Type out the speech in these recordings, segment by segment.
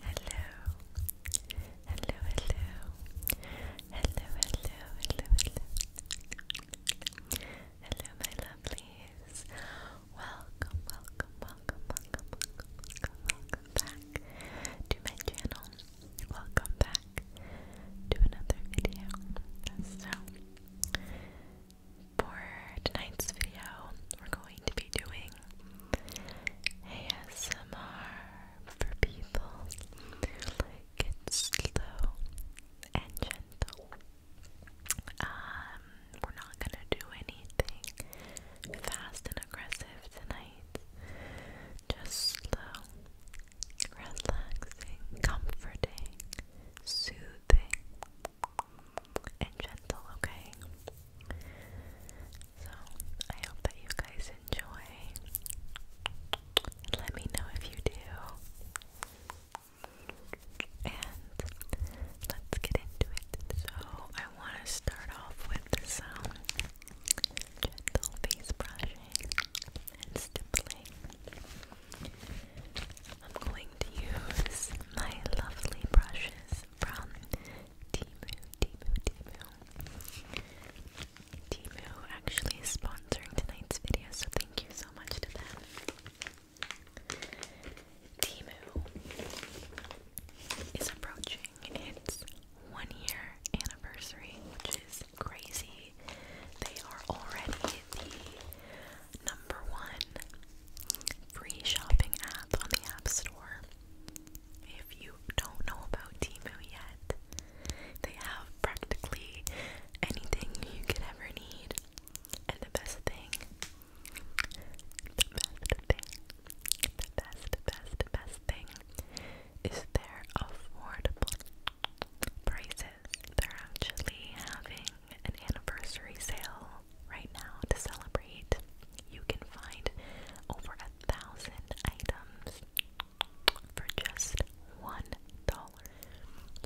Hello. Hello, hello. Hello, hello, hello, hello. my lovelies. welcome, welcome, welcome, welcome, welcome, welcome back to my channel. Welcome back to another video. So for tonight's video, we're going to be doing ASMR for people slow and gentle. Um, we're not gonna do anything fast and aggressive tonight. Just slow, relaxing, comforting, soothing and gentle, okay? So, I hope that you guys enjoy. Let me know if you do. And let's get into it. So, I want to start off with some gentle face brushing and stippling. I'm going to use my lovely brushes from Timu, Timu, Timu. Timu actually is sponsoring tonight's video, so thank you so much to them. Timu is approaching its one year anniversary, which is crazy. They are already the number one free shopping app on the App Store. If you don't know about Timu yet, they have practically anything you could ever need. And the best thing, the best thing, best, best, best thing is their affordable prices. They're actually having an anniversary sale right now to celebrate. You can find over a thousand items for just one dollar.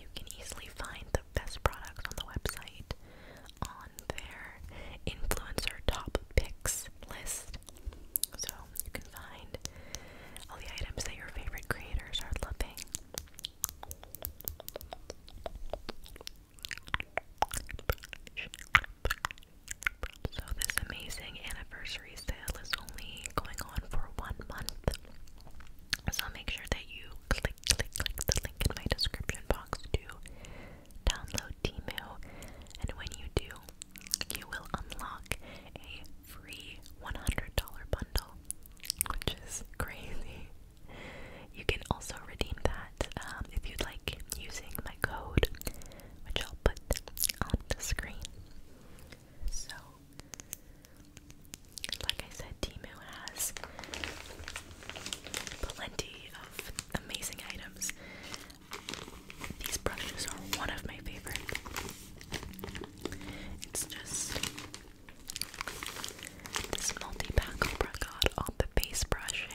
You can easily find the best products on the website on their influencer top picks list. So you can find all the items that your favorite creators are loving. So this amazing anniversary sale is only going on for one month. So make sure that you click click click the link in my description box to download Temu and when you do you will unlock a free $100 bundle which is crazy. You can also redeem that um, if you'd like using my code, which I'll put on the screen. So, like I said, Timu has plenty of amazing items. These brushes are one of my favorite. It's just this multi pack. Oh my god! the base brushes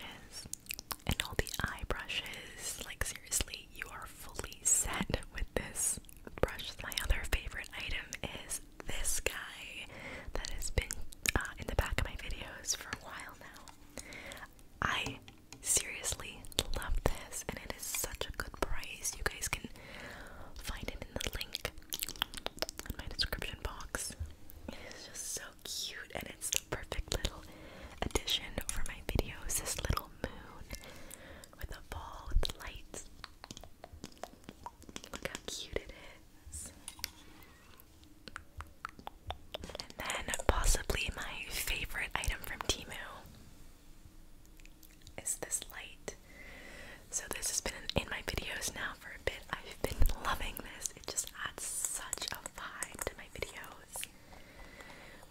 and all the eye brushes. Like, seriously, you are fully set with this brush. My other favorite item is this guy that has been uh, in the back of my videos for a while now. I seriously love this, and it is such a good price. You guys can find it in the link in my description box. It is just so cute, and it's the perfect little addition for my videos. This little moon with a ball with the lights. Look how cute it is. And then, possibly my favorite item from Timu is this light. So, this has been in my videos now for a bit. I've been loving this. It just adds such a vibe to my videos.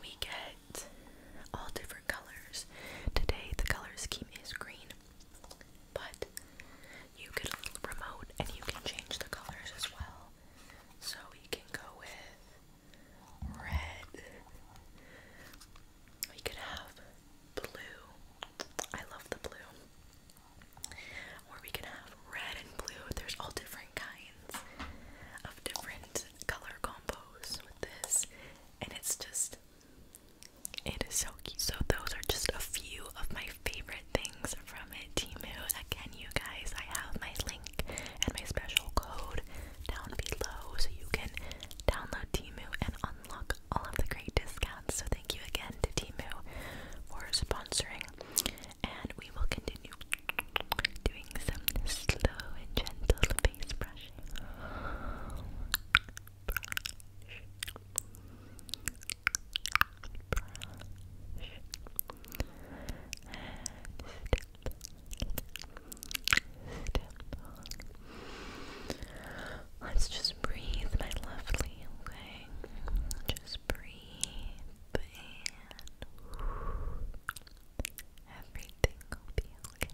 We get all different colors. Today the color scheme is green, but you could remote and you can change the colors as well. So you can go with red. We could have blue. I love the blue. Or we can have red and blue. There's all different kinds of different color combos with this. And it's just, it is so cute. So, those are just a few of my favorite things from it, Again, you guys, I have my link and my special code down below so you can download Timu and unlock all of the great discounts. So, thank you again to Timu for sponsoring and we will continue doing some slow and gentle face Brush. Let's just breathe, my lovely, okay? Just breathe and everything will be okay,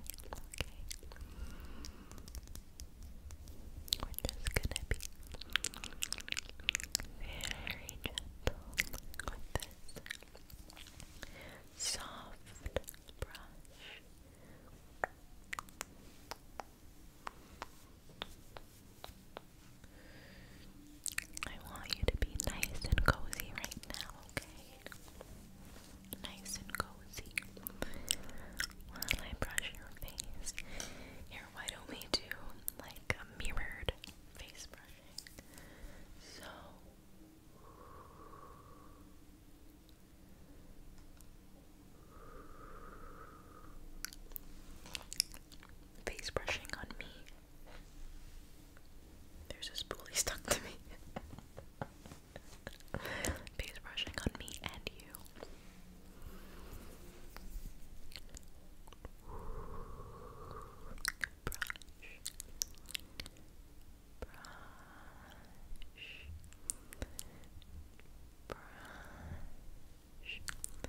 We're just gonna be very gentle with this soft brush. I want you to be nice and cozy right now, okay? Nice and cozy. While I brush your face. Here, why don't we do like a mirrored face brushing? So face brushing on me. There's a spoolie stuck to me. face brushing on me and you. Brush. Brush. Brush brush, Stipple,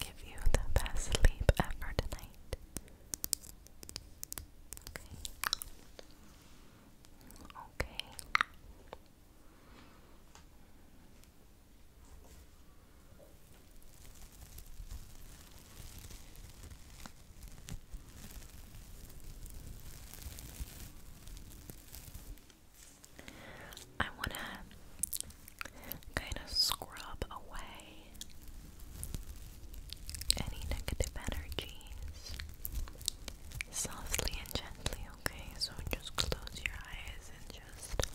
give you the best sleep ever tonight. Okay. Okay. I want to kind of scrub away any negative energies softly and gently, okay? So just close your eyes and just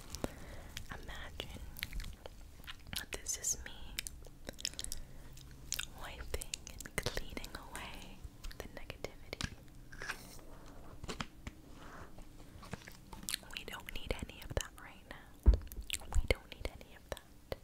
imagine this is me wiping and cleaning away the negativity. We don't need any of that, right? right now. We don't need any of that.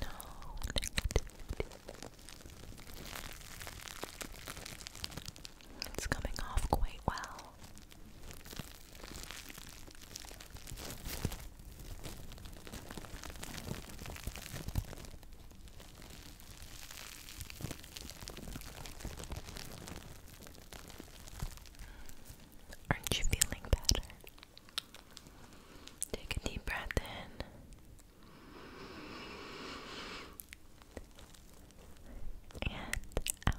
No, it's coming off quite well. Aren't you feeling better? Take a deep breath in. And out.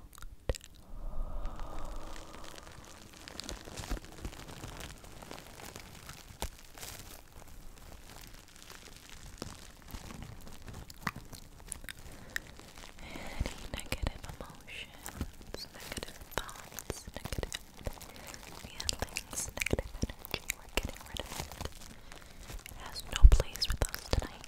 Any negative emotions, negative thoughts, negative feelings, negative energy, we're getting rid of it. It has no place with us tonight.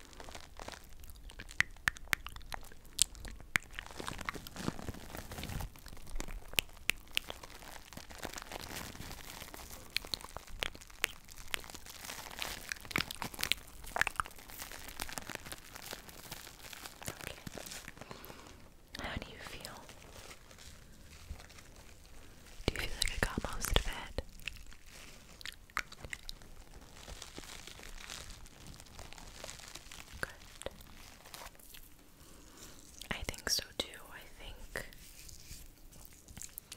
How do you feel? Do you feel like I got most of it? Good. I think so too. I think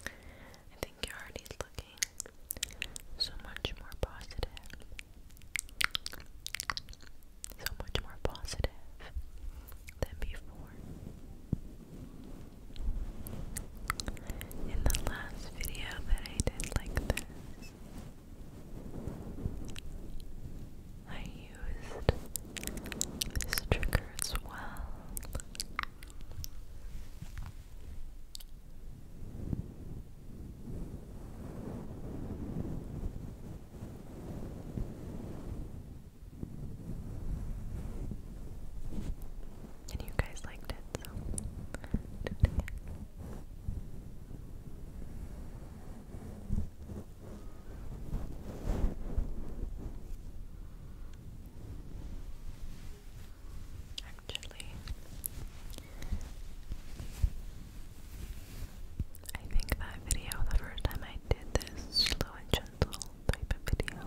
I think you're already looking so much more positive. So much more positive than before. In the last video that I did like this, I used this trigger as well. And you guys liked it, so Actually, I think that video, the first time I did this slow and gentle type of video,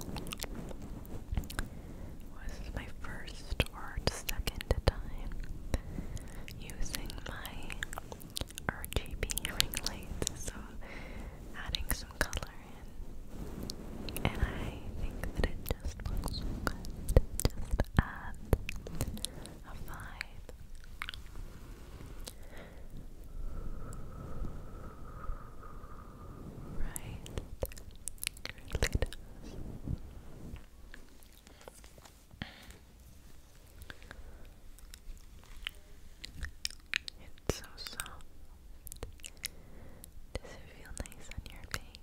was my first word second time using my RGB ring lights, so adding some color in. And I think that it just looks good. Just add a vibe. Right. It really it's so soft. Does it feel nice on your face?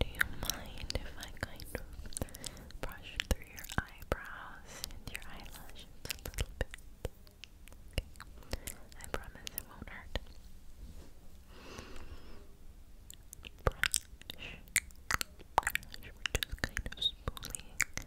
Do you mind if I kind of brush through your eyebrows and your eyelashes a little bit? I promise it won't hurt. Brush. just kind of spooling through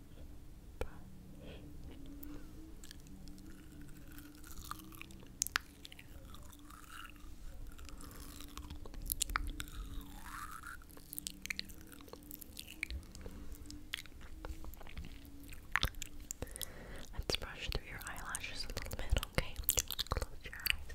Let's brush through your eyelashes a little bit, okay? Close your eyes.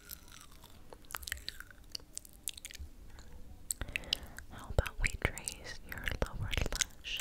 How about we trace your lower lash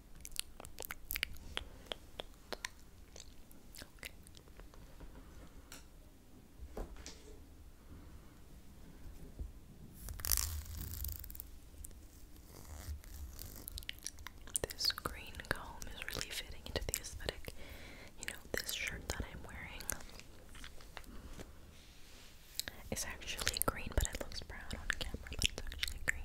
Okay. This green comb is really fitting into the aesthetic. You know, this shirt that I'm wearing is actually green, but it looks brown on camera, it's actually green.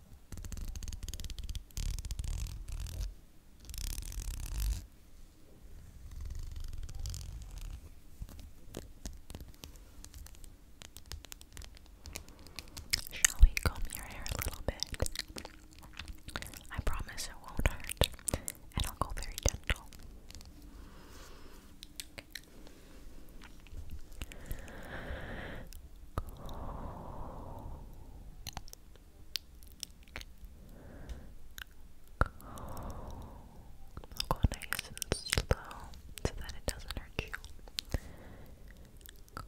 Shall we comb your hair a little bit? I promise it won't hurt, and I'll go very gentle. I'll go nice and slow so that it doesn't hurt you. Calm. Calm.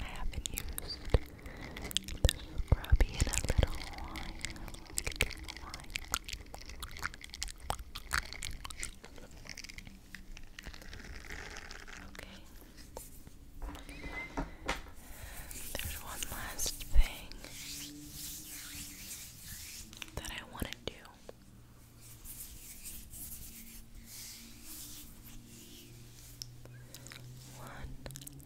I haven't used the scrubby in a little wine. Okay. There's one last thing that I want to do. One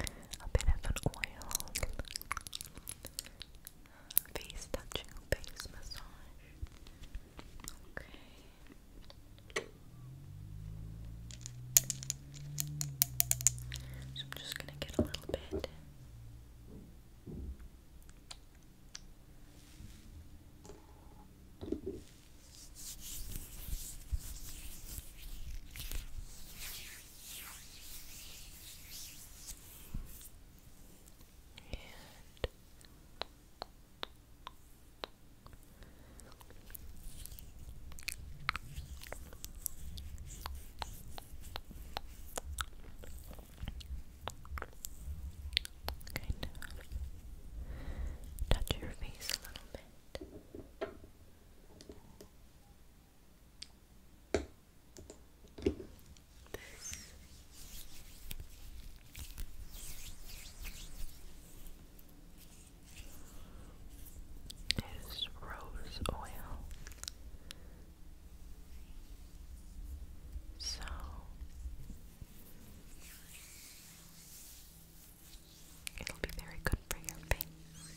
a bit of an oil face touching, face massage. Okay. So I'm just gonna get a little bit. And kind of touch your face a little bit. This. Is rose oil. So it'll be very good for your face.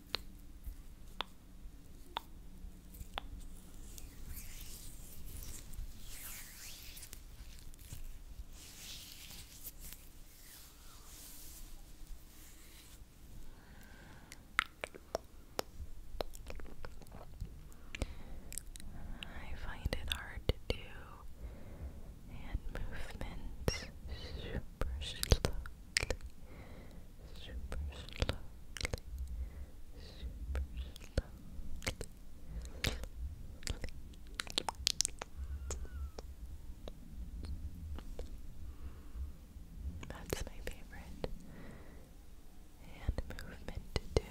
I find it hard to hand movements super slow super slowly, super slowly. That's my favorite hand movement to do.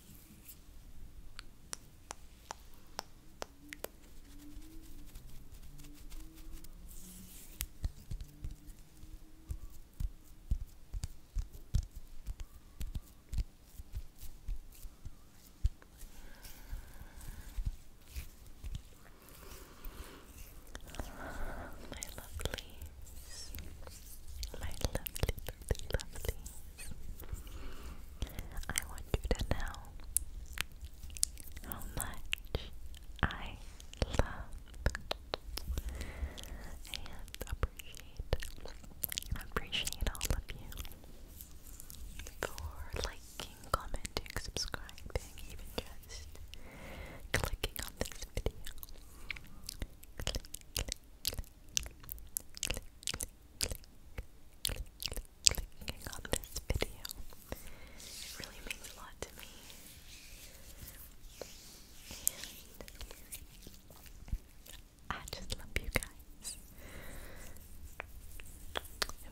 My lovelies, my lovely lovely I want you to know how much I love and appreciate appreciate all of you for liking, commenting, subscribing, even just clicking on this video clicking on this video. It really means a lot to me. I just love you guys.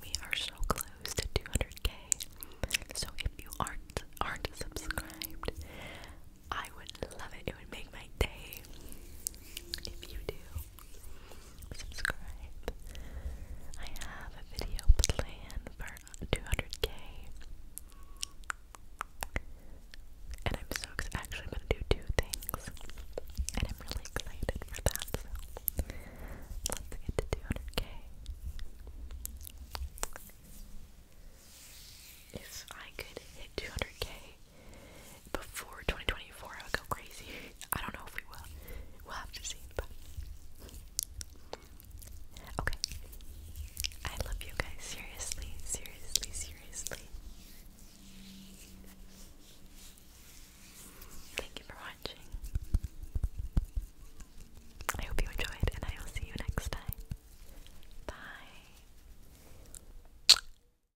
we are so close to 200k. So if you aren't aren't subscribed, I would love it. It would make my day if you do subscribe. I have a video planned for 200k. And I'm so excited. Actually, I'm going to do two things. And I'm really excited for that. let's get to 200k. If I could hit 200k before 2024, I would go crazy. I don't know if we will. We'll have to see. okay, I love you guys. Seriously, seriously, seriously. Thank you for watching. I hope you enjoyed, and I will see you next time. Bye.